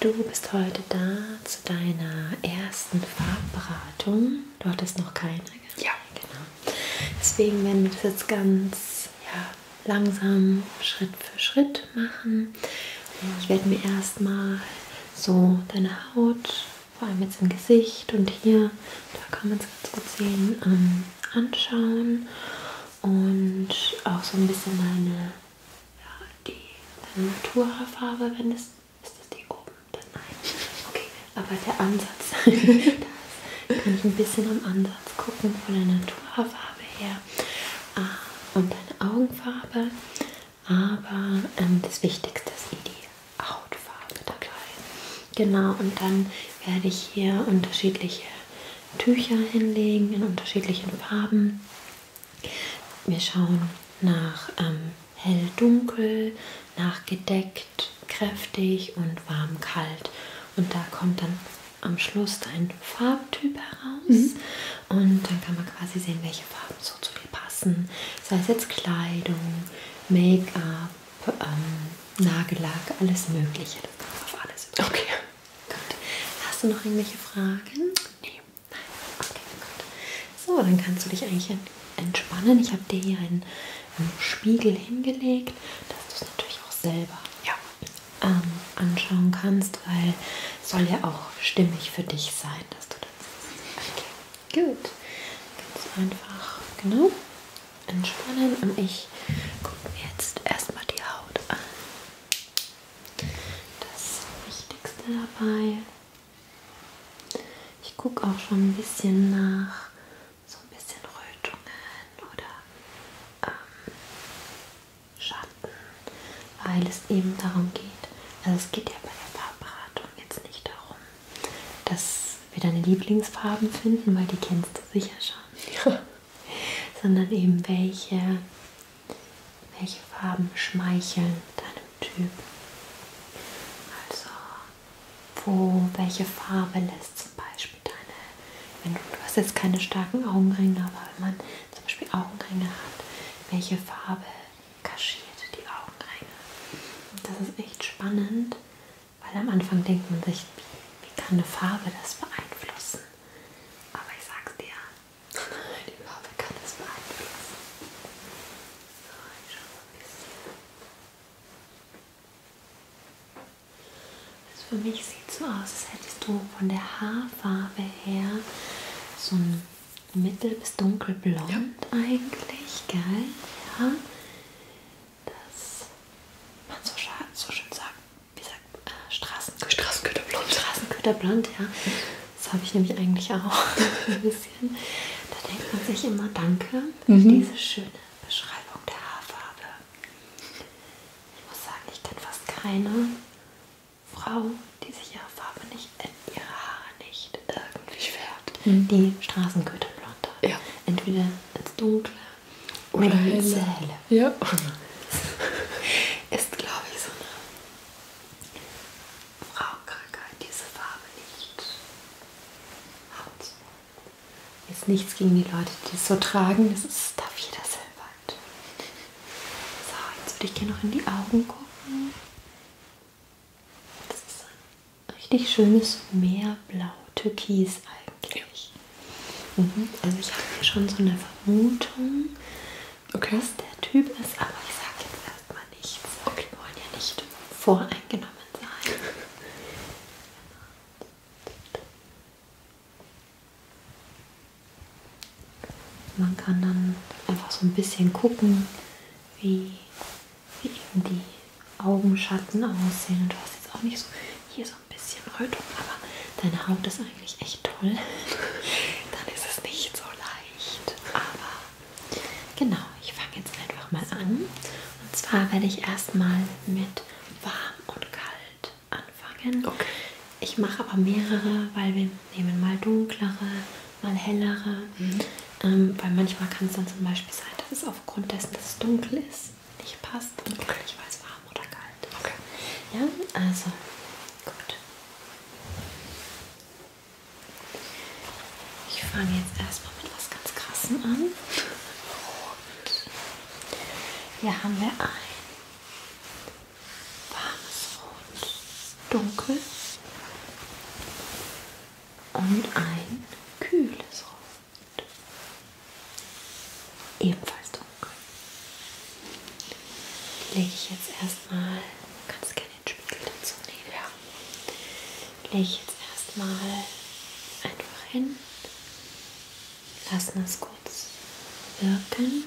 Du bist heute da zu deiner ersten Farbberatung. Du hattest noch keine? Ja. Genau. Deswegen werden wir das jetzt ganz ja, langsam, Schritt für Schritt machen. Ich werde mir erstmal so deine Haut, vor allem jetzt im Gesicht und hier, da kann man es ganz gut sehen, ähm, anschauen und auch so ein bisschen deine ja, die äh, Naturhaarfarbe, wenn es ist das die oben? Dann nein. Okay, aber der Ansatz, das kann ich ein bisschen am Ansatz gucken von der Naturhaarfarbe her ah, und deine Augenfarbe. Aber ähm, das Wichtigste ist eh die Hautfarbe dabei. Genau, und dann werde ich hier unterschiedliche Tücher hinlegen in unterschiedlichen Farben. Wir schauen nach ähm, hell, dunkel, nach gedeckt, kräftig und warm, kalt. Und da kommt dann am Schluss dein Farbtyp heraus. Mhm. Und dann kann man quasi sehen, welche Farben so zu dir passen. Sei es jetzt Kleidung, Make-up, ähm, Nagellack, alles Mögliche. Das kann man auf alles übernehmen. Okay. Gut. Hast du noch irgendwelche Fragen? Nee. Nein. Okay, gut. So, dann kannst du dich eigentlich entspannen. Ich habe dir hier einen, einen Spiegel hingelegt, dass du es natürlich auch selber ja. ähm, anschauen kannst, weil es soll ja auch stimmig für dich sein, dass du das siehst. Okay, gut. Ganz einfach, genau, entspannen und ich gucke mir jetzt erstmal die Haut an. Das Wichtigste dabei, ich gucke auch schon ein bisschen nach so ein bisschen Rötungen oder ähm, Schatten, weil es eben darum geht, also es geht ja bei der Farbberatung jetzt nicht darum, dass wir deine Lieblingsfarben finden, weil die kennst du sicher schon. Ja sondern eben welche, welche Farben schmeicheln deinem Typ. Also wo, welche Farbe lässt zum Beispiel deine, wenn du, du hast jetzt keine starken Augenringe, aber wenn man zum Beispiel Augenringe hat, welche Farbe kaschiert die Augenringe? Und das ist echt spannend, weil am Anfang denkt man sich, wie, wie kann eine Farbe das beeinflussen? Aber ich sag's dir, die Farbe kann es beeinflussen. So, ich schaue mal ein bisschen. Also für mich sieht es so aus, als hättest du von der Haarfarbe her so ein mittel- bis dunkelblond ja. eigentlich, gell? Ja. Das man so, so schön sagt, wie sagt äh, Straßen Straßenköderblond. Straßenköderblond, ja. Das habe ich nämlich eigentlich auch ein bisschen. Da denkt man sich immer Danke für mhm. diese schöne Beschreibung der Haarfarbe. Ich muss sagen, ich kenne fast keine Frau, die sich ihre Farbe nicht, äh, ihre Haare nicht irgendwie färbt. Mhm. Die Straßenköderblond hat. Ja. Entweder ins Dunkle oder Helle. Helle. Ja. Ist, glaube ich, so eine Frauenkrankheit, diese Farbe nicht hat. Jetzt nichts gegen die Leute, die es so tragen. Das ist, darf jeder selber So, jetzt würde ich dir noch in die Augen gucken. Das ist ein richtig schönes Meerblau-Türkis eigentlich. Ja. Mhm. Also ich habe hier schon so eine Vermutung, okay. was der Typ ist, aber ich sage jetzt erstmal nichts. Okay. Wir wollen ja nicht voreingenommen sein. Man kann dann einfach so ein bisschen gucken, wie, wie eben die Augenschatten aussehen. Und du hast jetzt auch nicht so hier so so ein bisschen Rötung, aber deine Haut ist eigentlich echt toll. Dann ist es nicht so leicht. Aber genau, ich fange jetzt einfach mal an. Und zwar werde ich erstmal mit warm und kalt anfangen. Okay. Ich mache aber mehrere, weil wir nehmen mal dunklere, mal hellere. Mhm. Ähm, weil manchmal kann es dann zum Beispiel sein, dass es aufgrund dessen, dass es dunkel ist, nicht passt und okay. gar nicht weiß, warm oder kalt ist. Okay. Ja, also gut. Ich fange jetzt erstmal mit was ganz Krassem an. Rot. Hier haben wir ein warmes Rot, dunkel und ein kühles Rot ebenfalls dunkel. Die lege ich jetzt erstmal, du kannst gerne den Spiegel dazu nehmen, ja. lege ich jetzt erstmal einfach hin, lassen es kurz wirken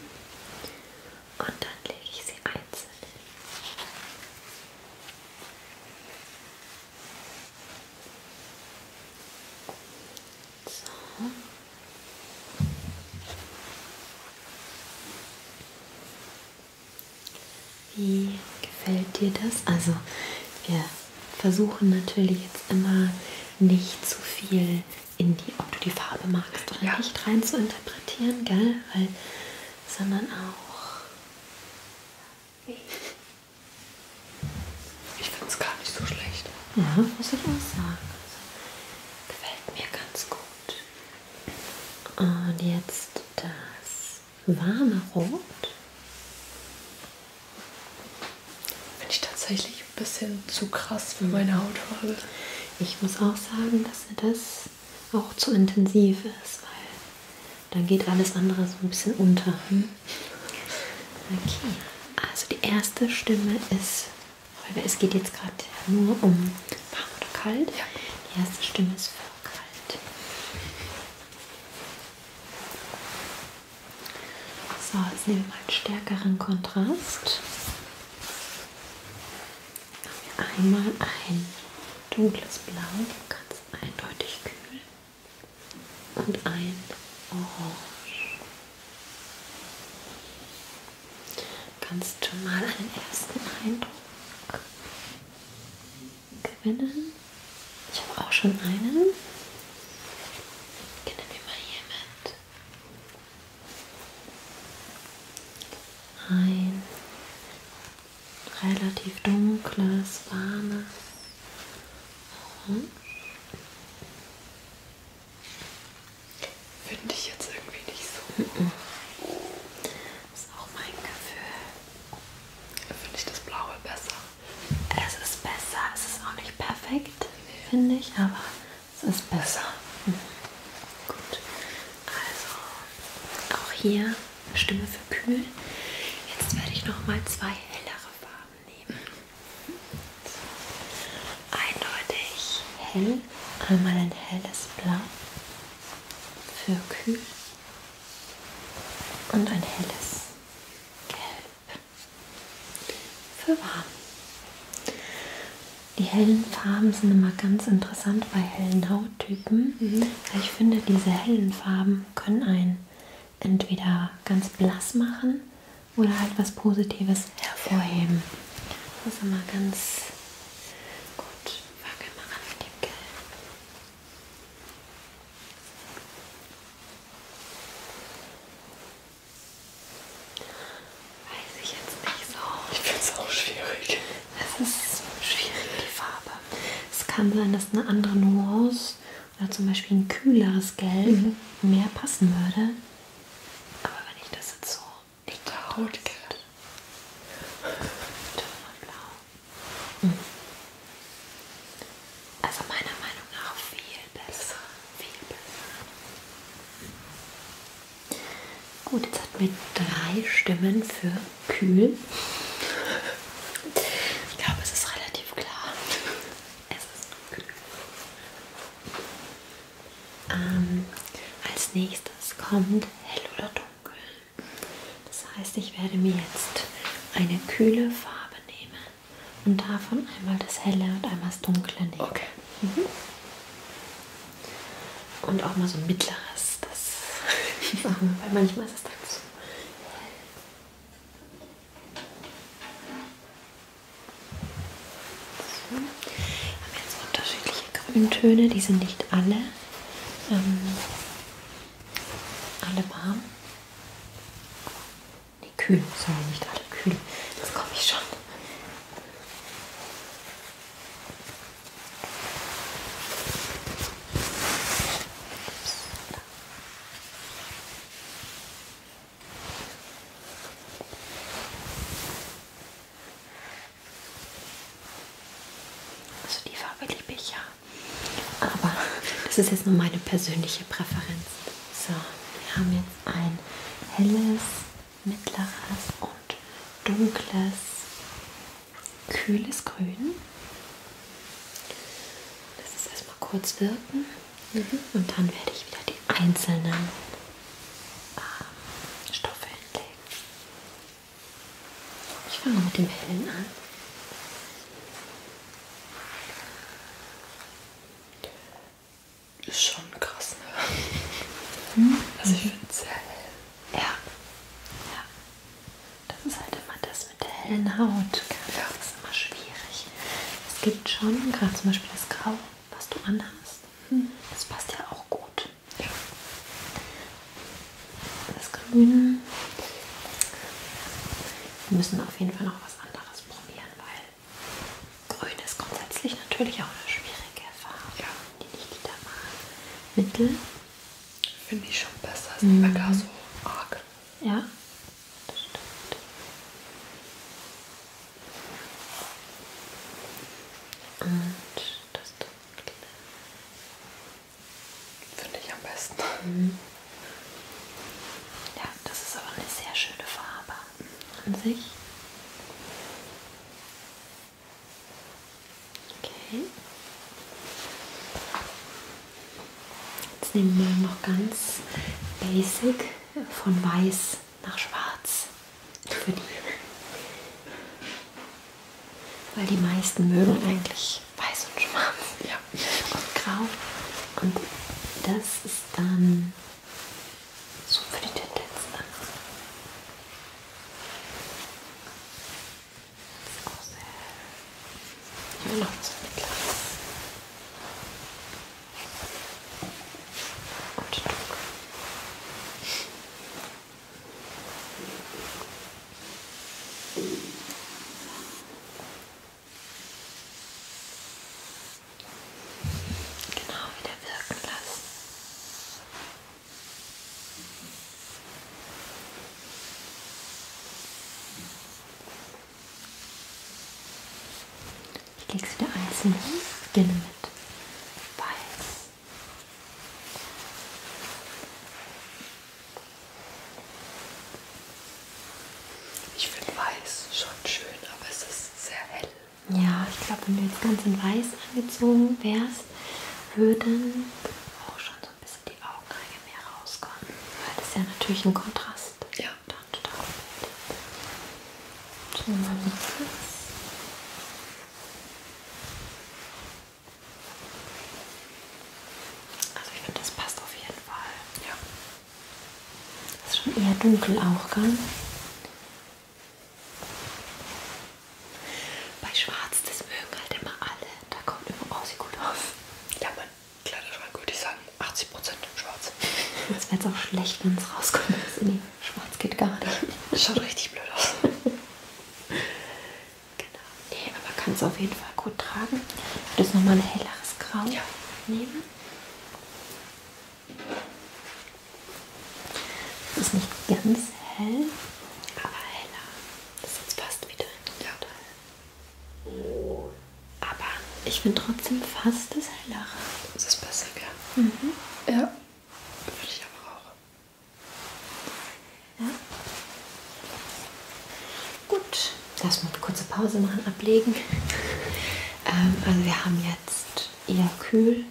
und dann lege ich sie einzeln hin. So. Wie gefällt dir das? Also wir versuchen natürlich jetzt immer nicht zu viel in die, ob du die Farbe magst oder ja. nicht, rein zu interpretieren, gell? Weil, sondern auch, ich finde es gar nicht so schlecht. Ja, muss ich auch sagen. Gefällt mir ganz gut. Und jetzt das warme Rot. Finde ich tatsächlich ein bisschen zu krass für meine Hautfarbe. Ich muss auch sagen, dass mir das auch zu intensiv ist, weil dann geht alles andere so ein bisschen unter. Mhm. Okay, also die erste Stimme ist, weil es geht jetzt gerade nur um warm oder kalt. Ja. Die erste Stimme ist für kalt. So, jetzt nehmen wir mal einen stärkeren Kontrast. Haben wir einmal ein dunkles Blau, ganz eindeutig kühl und ein Orange. Kannst du mal einen ersten Eindruck gewinnen? Ich habe auch schon einen. Ich nehme ihn mal hier mit. Ein relativ dunkles, warmes Mhm. Finde ich jetzt irgendwie nicht so. Mhm. Das ist auch mein Gefühl. Finde ich das Blaue besser. Es ist besser. Es ist auch nicht perfekt, nee. finde ich, aber es ist besser. Mhm. Gut. Also auch hier Stimme für kühl. Jetzt werde ich noch mal zwei hellere Farben nehmen. Eindeutig hell, einmal ein helles Blau für kühl und ein helles Gelb für warm. Die hellen Farben sind immer ganz interessant bei hellen Hauttypen. Mhm. Ich finde, diese hellen Farben können ein entweder ganz blass machen oder halt was Positives hervorheben. Das ist immer ganz gut. Fangen wir an mit dem Gel. Weiß ich jetzt nicht so. Ich finde es auch schwierig. Es ist schwierig, die Farbe. Es kann sein, dass eine andere Nuance oder zum Beispiel ein kühleres Gelb mhm. mehr passen würde. Aber wenn ich das jetzt so nicht rot blau. Mhm. Also meiner Meinung nach viel besser, viel besser. Gut, jetzt hatten wir drei Stimmen für kühl. Ich glaube, es ist relativ klar. Es ist gut. Ähm, als nächstes kommt hell oder dunkel. Das heißt, ich werde mir jetzt eine kühle Farbe nehmen und davon einmal das helle und einmal das dunkle nehmen. Okay. Mhm. Und auch mal so ein mittleres, das, weil manchmal ist es dann so hell so. Wir haben jetzt unterschiedliche Grüntöne, die sind nicht alle, ähm, alle warm. Nee, kühl, sorry, nicht alle kühl. Das komme ich schon. Ups, also die Farbe liebe ich ja. Aber das ist jetzt nur meine persönliche Präferenz. So, wir haben jetzt ein helles, mittleres und dunkles kühles Grün. Lass es erstmal kurz wirken mhm. und dann werde ich wieder die einzelnen äh, Stoffe hinlegen. Ich fange mit dem hellen an. Ist schon krass, ne? Mhm. Also ich finde es sehr hell. Ja. ja. Das ist halt immer das mit der hellen Haut. Ja. Das ist immer schwierig. Es gibt schon, gerade zum Beispiel das Grau, was du anhast. Hm. Das passt ja auch gut. Ja. Das Grün. Wir müssen auf jeden Fall noch was anderes probieren, weil Grün ist grundsätzlich natürlich auch eine schwierige Farbe, ja. die nicht jeder mag. Mittel. Finde ich schon besser, mhm. ist mhm. nicht mehr gar so arg. Ja, das stimmt. Und das Dunkle. Finde ich am besten. Mhm. Ja, das ist aber eine sehr schöne Farbe an sich. Okay. Jetzt nehmen wir noch ganz basic von weiß nach schwarz. Für die. Weil die meisten mögen eigentlich weiß und schwarz. Ja. Und grau. Und das ist dann so für die Tendenz. Das ist auch sehr. Hier noch so eine kleine. Und dunkel. Genau wieder wirken lassen. Ich lege es wieder einzeln hin, beginne mit Weiß. Ich finde Weiß schon schön, aber es ist sehr hell. Ja, ich glaube, wenn du jetzt ganz in Weiß angezogen wärst, würden auch schon so ein bisschen die Augenringe mehr rauskommen, weil das ist ja natürlich ein Kontrast. Ja. Dann total gut. Schauen wir mal Also ich finde, das passt auf jeden Fall. Ja. Das ist schon eher dunkel auch, gell? Bei Schwarz, das mögen halt immer alle. Da kommt immer Aussie gut auf. Ja, mein Kleiderschrank würde ich sagen, 80% Schwarz. Das wäre jetzt auch schlecht, wenn es rauskommt. Nee, Schwarz geht gar nicht. Das schaut richtig blöd aus. Genau. Nee, aber kannst auf jeden Fall gut tragen. Ich würde jetzt nochmal ein helleres Grau ja. nehmen. Das ist nicht ganz hell, aber heller. Das ist jetzt fast wieder ein ja. Teil. Aber ich finde trotzdem fast das hellere. Das ist besser, gell? Mhm. Ja. Finde ich aber auch. Ja. Gut. Lass mal eine kurze Pause machen, ablegen. ähm, also wir haben jetzt eher kühl,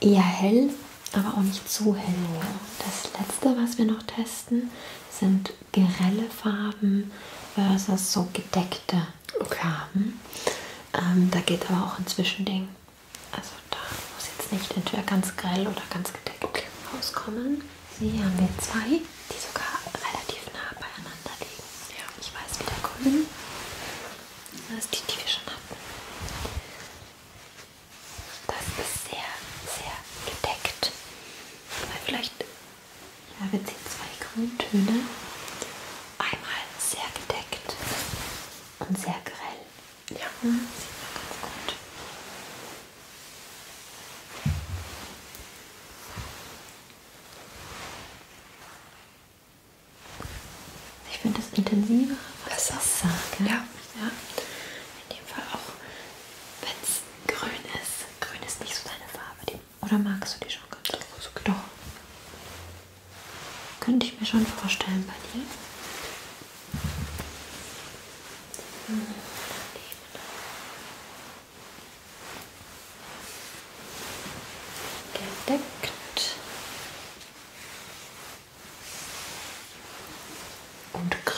eher hell aber auch nicht zu hell. Das letzte, was wir noch testen, sind grelle Farben versus so gedeckte okay. Farben. Ähm, da geht aber auch ein Zwischending. Also da muss jetzt nicht entweder ganz grell oder ganz gedeckt okay. rauskommen. Hier haben wir zwei, die sogar relativ nah beieinander liegen. Ja. Ich weiß, wie der kommen. Das ist die, die wir schon hatten. Das ist sehr, sehr gedeckt. Weil vielleicht, ja, wir ziehen zwei Grüntöne. Einmal sehr gedeckt und sehr grell. Ja, mhm. sieht man ganz gut. Ich finde das intensivere Wasser. Wasser ja. Ja. In dem Fall auch, wenn es grün ist. Grün ist nicht so deine Farbe. Die, oder magst du die schon ganz groß? Doch. Könnte ich mir schon vorstellen bei dir. Hm. Gedeckt und Krallen.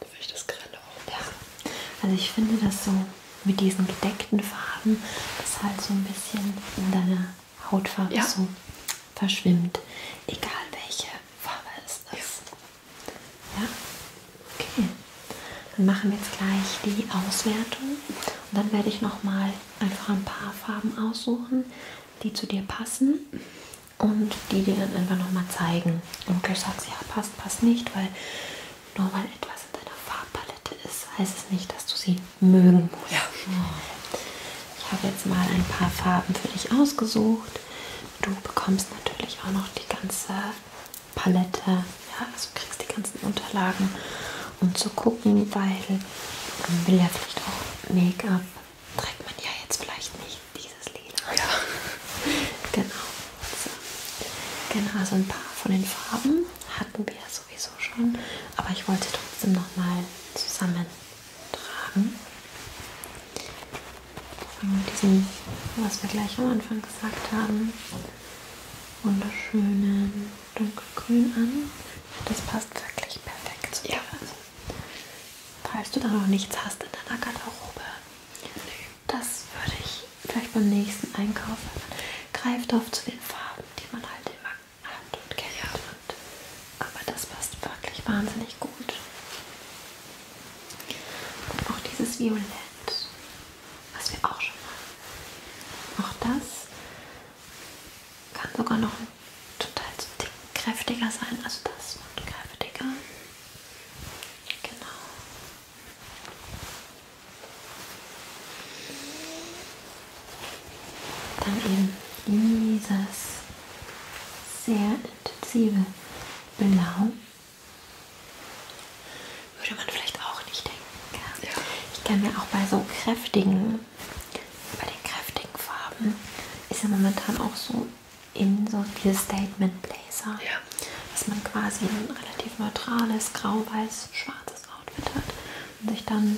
Da will ich das Grelle auch. Ja, also ich finde das so mit diesen gedeckten Farben, das halt so ein bisschen in deiner Hautfarbe ja. so verschwimmt. Egal welche Farbe es ist. Ja. Ja? Okay. Dann machen wir jetzt gleich die Auswertung und dann werde ich nochmal einfach ein paar Farben aussuchen, die zu dir passen und die dir dann einfach nochmal zeigen. Und gleich sagst ja, passt, passt nicht, weil nur weil etwas in deiner Farbpalette ist, heißt es nicht, dass du sie mögen musst. Ja. Ich habe jetzt mal ein paar Farben für dich ausgesucht. Du bekommst natürlich auch noch die ganze Palette, ja, also kriegst die ganzen Unterlagen, um zu gucken, weil man will ja vielleicht auch Make-up, trägt man ja jetzt vielleicht nicht dieses Lila. Ja. Genau. So. Genau, also ein paar von den Farben hatten wir sowieso schon, aber ich wollte trotzdem nochmal zusammentragen mit diesem, was wir gleich am Anfang gesagt haben, wunderschönen dunkelgrün an. Das passt wirklich perfekt zu dir. Ja. Falls du da noch nichts hast in deiner Garderobe, nee. das würde ich vielleicht beim nächsten Einkauf, greift auf zu den Farben, die man halt immer hat und kennt. Ja. Aber das passt wirklich wahnsinnig gut. Und auch dieses Violett, was wir auch schon haben. Auch das kann sogar noch total so dick, kräftiger sein. Also das wird kräftiger. Genau. Dann eben dieses sehr intensive blau. Genau. Würde man vielleicht auch nicht denken. Ja. Ich kann mir auch bei so kräftigen, bei den kräftigen Farben ist ja momentan auch so in so diese Statement Blazer, ja. dass man quasi ein relativ neutrales grau-weiß-schwarzes Outfit hat und sich dann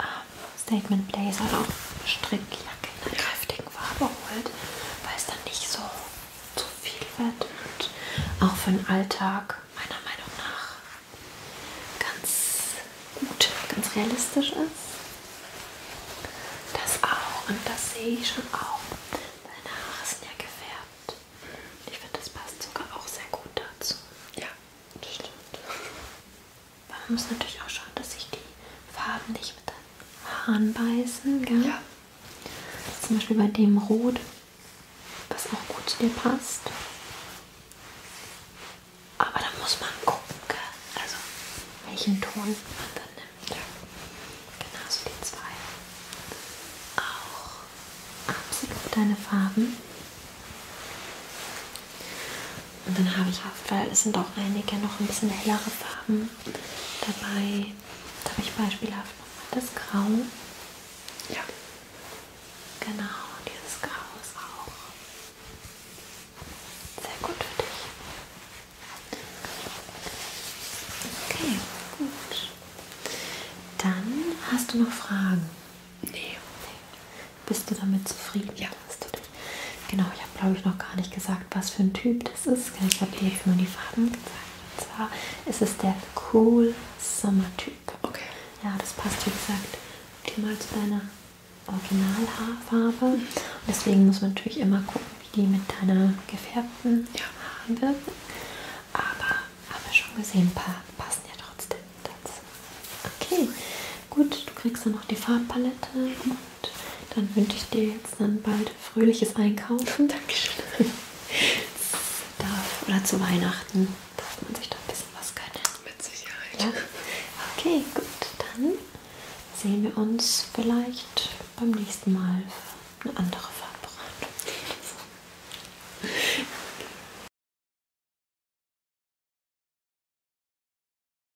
ähm, Statement Blazer oder auch Strickjacken in einer kräftigen Farbe holt, weil es dann nicht so zu viel wird und auch für den Alltag meiner Meinung nach ganz gut, ganz realistisch ist. Das auch und das sehe ich schon auch. Deine Haare sind ja gefärbt. Ich finde, das passt sogar auch sehr gut dazu. Ja, das stimmt. Aber man muss natürlich auch schauen, dass sich die Farben nicht miteinander anbeißen, gell? Ja. Zum Beispiel bei dem Rot, was auch gut zu dir passt. Aber da muss man gucken, gell? Also welchen Ton man dann nimmt. Ja. Genauso die zwei. Auch absolut deine Farben. Und dann habe ich oft, weil es sind auch einige noch ein bisschen hellere Farben dabei. Da habe ich beispielhaft nochmal das Grau. Ja. Genau, dieses Grau ist auch sehr gut für dich. Okay, gut. Dann hast du noch Fragen? Nee. Bist du damit zufrieden? Ja. Hast du gemacht. Genau, ich habe glaube ich noch gar nicht gesagt, was für ein Typ das ist. Genau, ich habe dir jetzt nur die Farben gezeigt. Und zwar ist es der Cool Summer Typ. Okay. Ja, das passt wie gesagt optimal zu deiner Originalhaarfarbe. Und deswegen muss man natürlich immer gucken, wie die mit deiner gefärbten ja. Haaren wirken. Aber haben wir schon gesehen, ein paar passen ja trotzdem dazu. Okay, Gut, du kriegst dann noch die Farbpalette und dann wünsche ich dir jetzt dann bald fröhliches Einkaufen. Dankeschön. Darf, oder zu Weihnachten darf man sich da ein bisschen was gönnen. Mit Sicherheit. Ja. Okay, gut, dann sehen wir uns vielleicht beim nächsten Mal für eine andere Farbberatung.